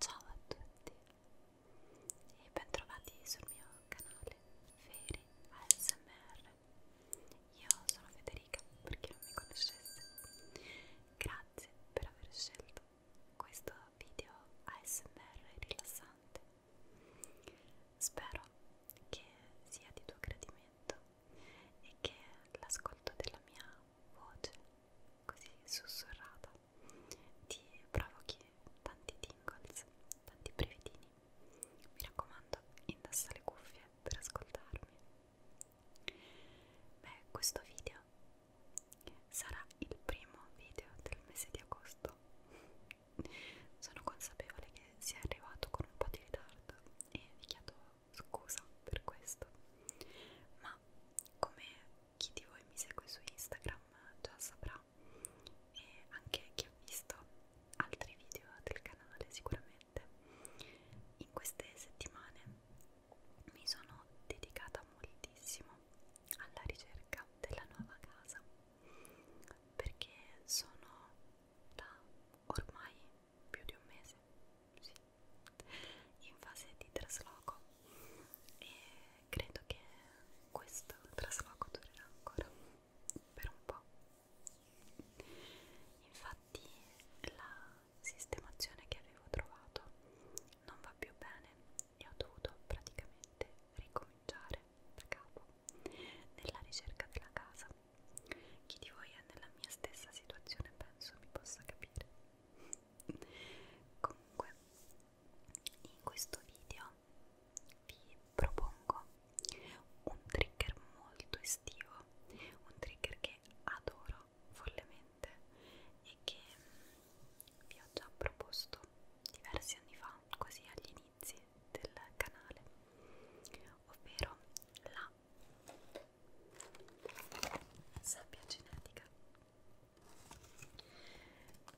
Ciao a tutti e bentrovati sul mio canale Feri ASMR. Io sono Federica, per chi non mi conoscesse. Grazie per aver scelto questo video ASMR rilassante. Spero che sia di tuo gradimento e che l'ascolto della mia voce così sussurrata ti provochi tanti tingles, tanti brevedini. Mi raccomando, indossa le cuffie per ascoltarmi. Beh, questo video sarà il primo video del mese di agosto. Sono consapevole che sia arrivato con un po' di ritardo e vi chiedo scusa per questo ma come chi di voi mi segue su Instagram già saprà e anche chi ha visto altri video del canale sicuramente in queste settimane mi sono dedicata moltissimo alla ricerca della nuova casa perché sono da ormai più di un mese, sì, in fase di trasloco e credo che questo trasloco durerà ancora per un po'. Infatti la sistemazione che avevo trovato non va più bene e ho dovuto praticamente ricominciare da capo nella ricerca della casa. Chi di voi è nella mia stessa situazione penso mi possa capire. Comunque, in questo video vi propongo un trigger molto estivo, un trigger che adoro follemente e che vi ho già proposto diversi anni fa, così all'inizio inizi del canale, ovvero la sabbia genetica.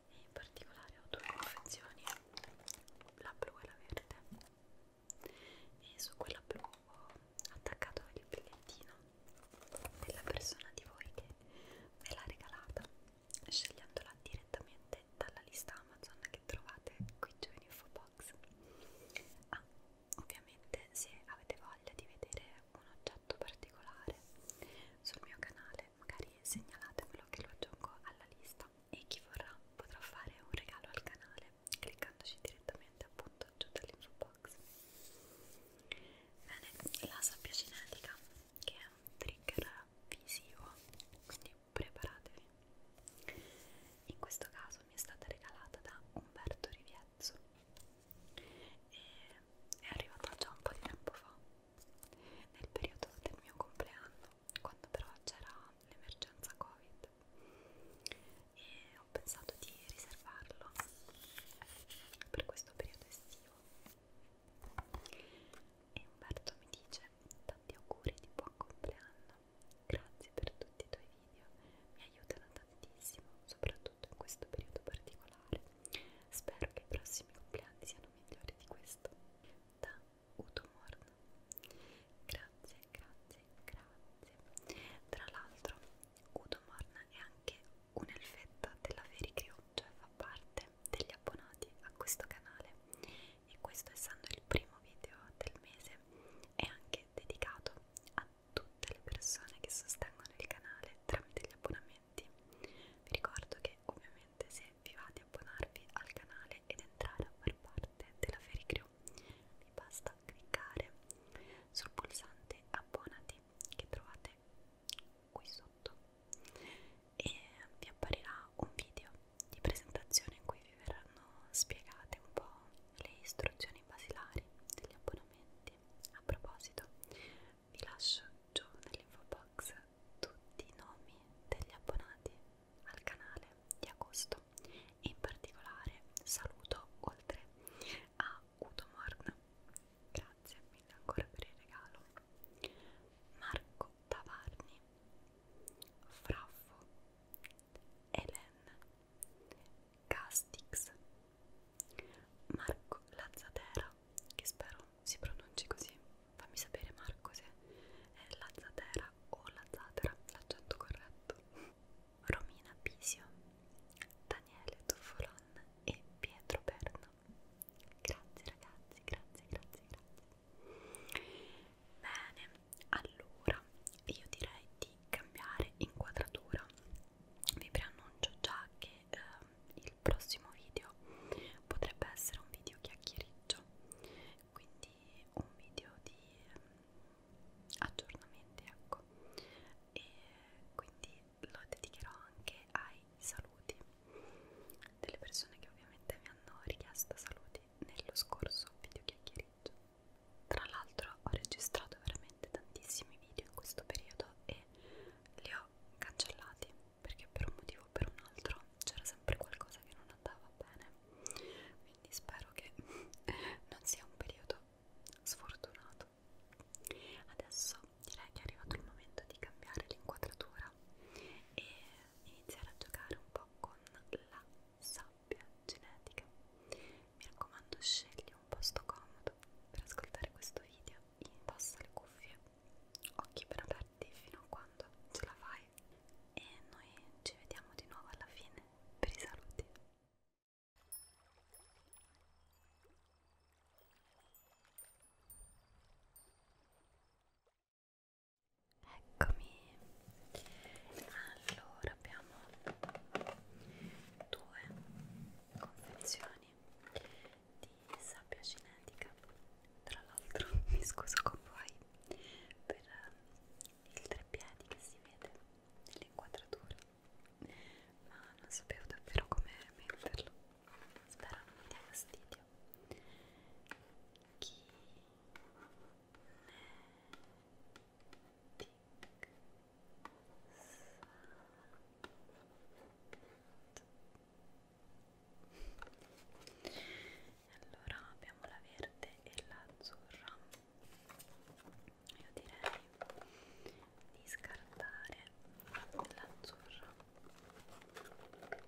E in particolare ho due confezioni, la blu e la verde, e su quella blu ho attaccato il bigliettino della persona di voi che me l'ha regalata, scegliendola direttamente dalla lista Amazon che trovate qui giù in infobox box ah, ovviamente se avete voglia di vedere un oggetto particolare sul mio canale magari segnalatemelo che lo aggiungo alla lista e chi vorrà potrà fare un regalo al canale cliccandoci direttamente appunto giù dall'info box bene, la sabbia cinetica che è un trigger visivo quindi preparatevi. In questo caso mi è stata regalata da Umberto Riviezzo e è arrivata già un po' di tempo fa, nel periodo del mio compleanno, quando però c'era l'emergenza Covid e ho pensato di riservarlo per questo periodo estivo e Umberto mi dice tanti auguri di buon compleanno, grazie per tutti i tuoi video, mi aiutano tantissimo, soprattutto in questo periodo particolare, spero che i prossimi compleanni siano migliori di questo, da Utomorn, grazie, grazie, grazie, tra l'altro Utomorn è anche un'elfetta della Fairy Crew, cioè fa parte degli abbonati a questo canale e questo essendo il primo video del mese è anche dedicato a tutte le persone che sostengono il canale tramite gli abbonamenti. Vi ricordo che ovviamente se vi va di abbonarvi al canale ed entrare a far parte della Fairy Crew vi basta cliccare sul pulsante abbonati che trovate qui sotto e vi apparirà un video di presentazione in cui vi verranno spiegate un po' le istruzioni basilari degli abbonamenti. A proposito, vi lascio giù nell'info box tutti i nomi degli abbonati al canale di agosto e in particolare saluto oltre a Udomorn, grazie mille ancora per il regalo, Marco Tavarni, Fraffo, Helen, Castix, Marco Lazzatera, che spero si pronunci così, fammi sapere Marco se è Lazzatera o Lazzatera, l'accento corretto, Romina Pisio, Daniele Tuffolon e Pietro Berna. Grazie ragazzi, grazie, grazie, grazie. Bene, allora io direi di cambiare inquadratura. Vi preannuncio già che eh, il prossimo video potrebbe essere un video chiacchieriggio, quindi un video di eh, aggiornamenti, ecco. E quindi lo dedicherò anche ai saluti delle persone che ovviamente mi hanno richiesto saluti nello scorso video chiacchiereggio. Tra l'altro ho registrato veramente tantissimi video in questo periodo e li ho cancellati perché per un motivo o per un altro c'era sempre qualcosa che non andava bene. Quindi spero che non sia un periodo sfortunato. Adesso direi che è arrivato il momento di cambiare l'inquadratura sabbia e iniziare a giocare un po' con la sabbia genetica. Mi raccomando, scegli un posto comodo per ascoltare questo video, indossa le cuffie, occhi ben aperti fino a quando ce la fai e noi ci vediamo di nuovo alla fine per i saluti. Eccomi. Allora abbiamo due confezioni di sabbia cinetica. Tra l'altro mi scuso con voi per ehm, il treppiedi che si vede nell'inquadratura, ma non sapevo davvero come metterlo spero non mi dia fastidio chi allora abbiamo la verde e l'azzurra io direi di scartare l'azzurra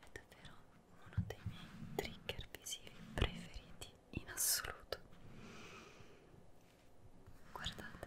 È davvero uno dei miei trigger visivi preferiti in assoluto. Guardate.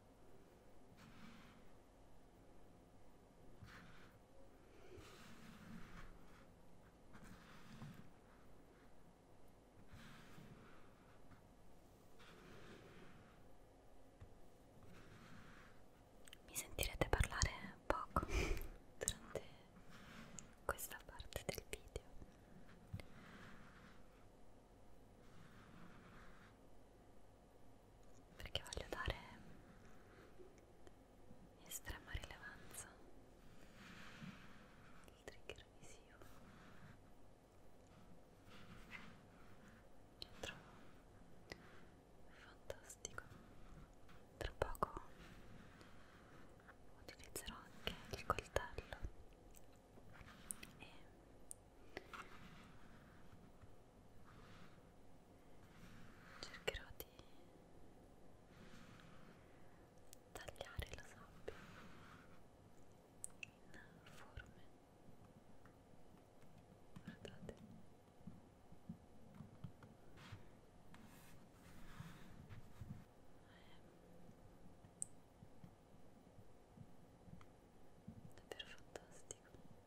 Mi sentirete parlare poco durante questa parte del video perché voglio dare estrema rilevanza al trigger visivo che trovo fantastico tra poco utilizzerò anche il coltello e cercherò di tagliare la sabbia in forme guardate davvero fantastico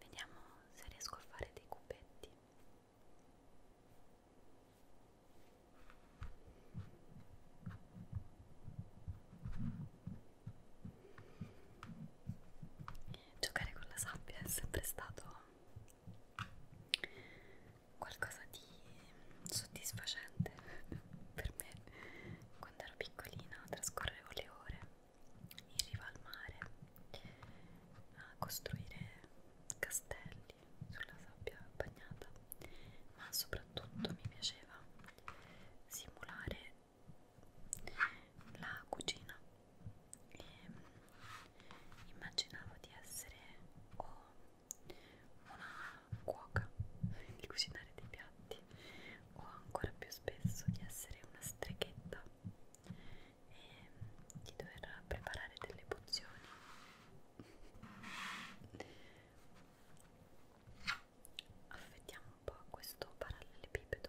Vediamo se riesco a fare dei cubetti giocare con la sabbia è sempre stato qualcosa di soddisfacente per me quando ero piccolina trascorrevo le ore in riva al mare a costruire castelli sulla sabbia bagnata ma soprattutto mi piaceva simulare la cucina e ehm, immaginavo di essere o una cuoca di cucinare dei piatti o ancora più spesso di essere una streghetta e di dover preparare delle pozioni affettiamo un po' questo parallelepipedo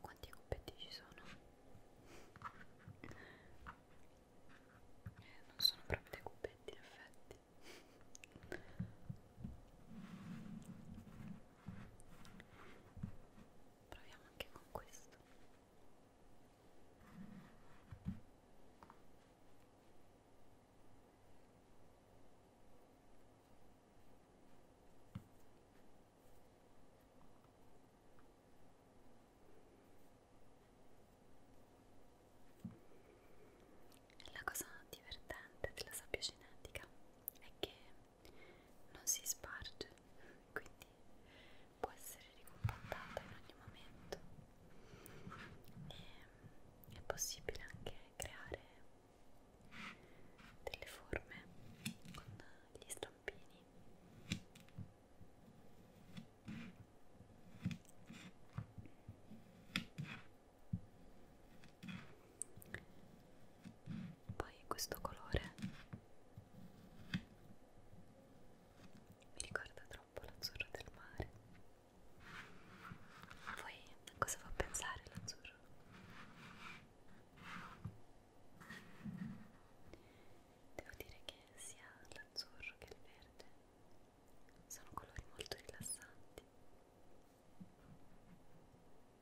Quanti cubetti ci sono? Eh, non sono proprio dei cubetti in effetti. Proviamo anche con questo. La cosa divertente della sabbia cinetica è che non si sparge, quindi può essere ricompattata in ogni momento e ehm, è possibile anche creare delle forme con gli stampini poi questo colore mi ricorda troppo troppo l'azzurro del mare. A voi a cosa fa pensare l'azzurro? Devo dire che sia l'azzurro che il verde sono colori molto rilassanti.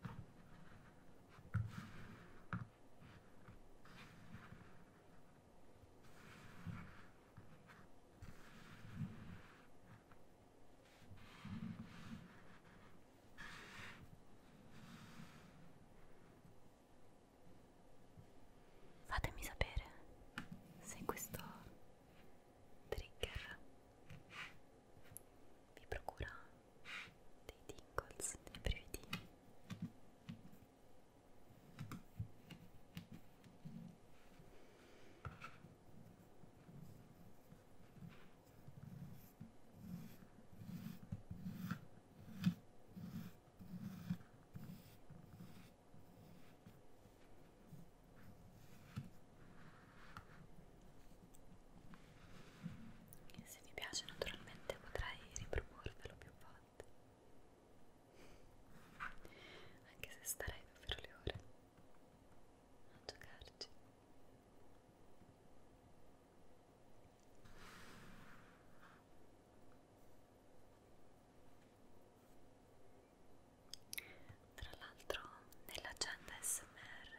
Io Fatemi sapere se questo trigger vi procura dei tingles, dei brividi. E se vi piace naturalmente potrei riproporvelo più volte anche se starei davvero le ore a giocarci tra l'altro nell'agenda smr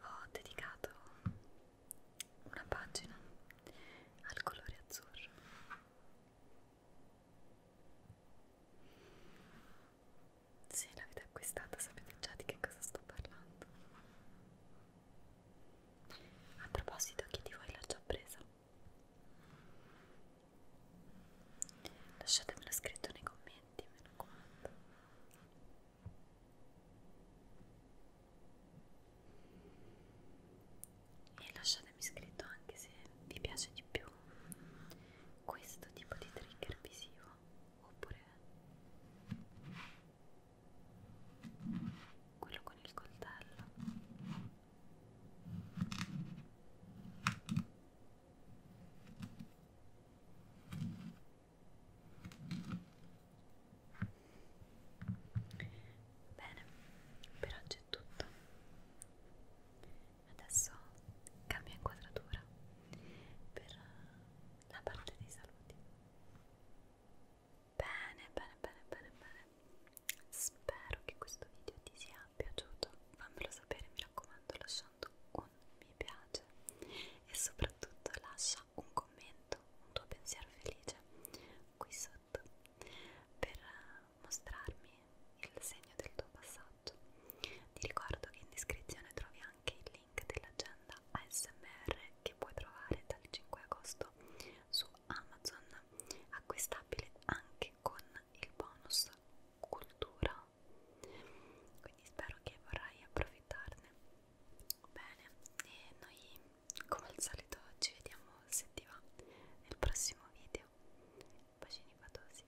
ho dedicato una pagina al colore azzurro se l'avete acquistata sapete già di che cosa sto parlando. A proposito, chi di voi l'ha già presa? Lasciatemelo scritto nei commenti, me lo raccomando e lasciatemi scritto anche se vi piace di più questo tipo di trigger visivo oppure quello con il coltello Bene, per oggi è tutto. Adesso cambio inquadratura per la parte dei saluti. Bene, bene, bene, bene, bene. Spero che questo video ti sia piaciuto. Fammelo sapere, mi raccomando, lasciando un mi piace e soprattutto lascia un commento, un tuo pensiero felice qui sotto per mostrarmi il segno del tuo passaggio. Ti ricordo che in descrizione trovi anche il link dell'agenda ASMR che puoi trovare dal 5 agosto su Amazon, acquistabile anche con il bonus cultura. Quindi spero che vorrai approfittarne. Bene, e noi come al solito ci vediamo se ti va nel prossimo video bacini fatosi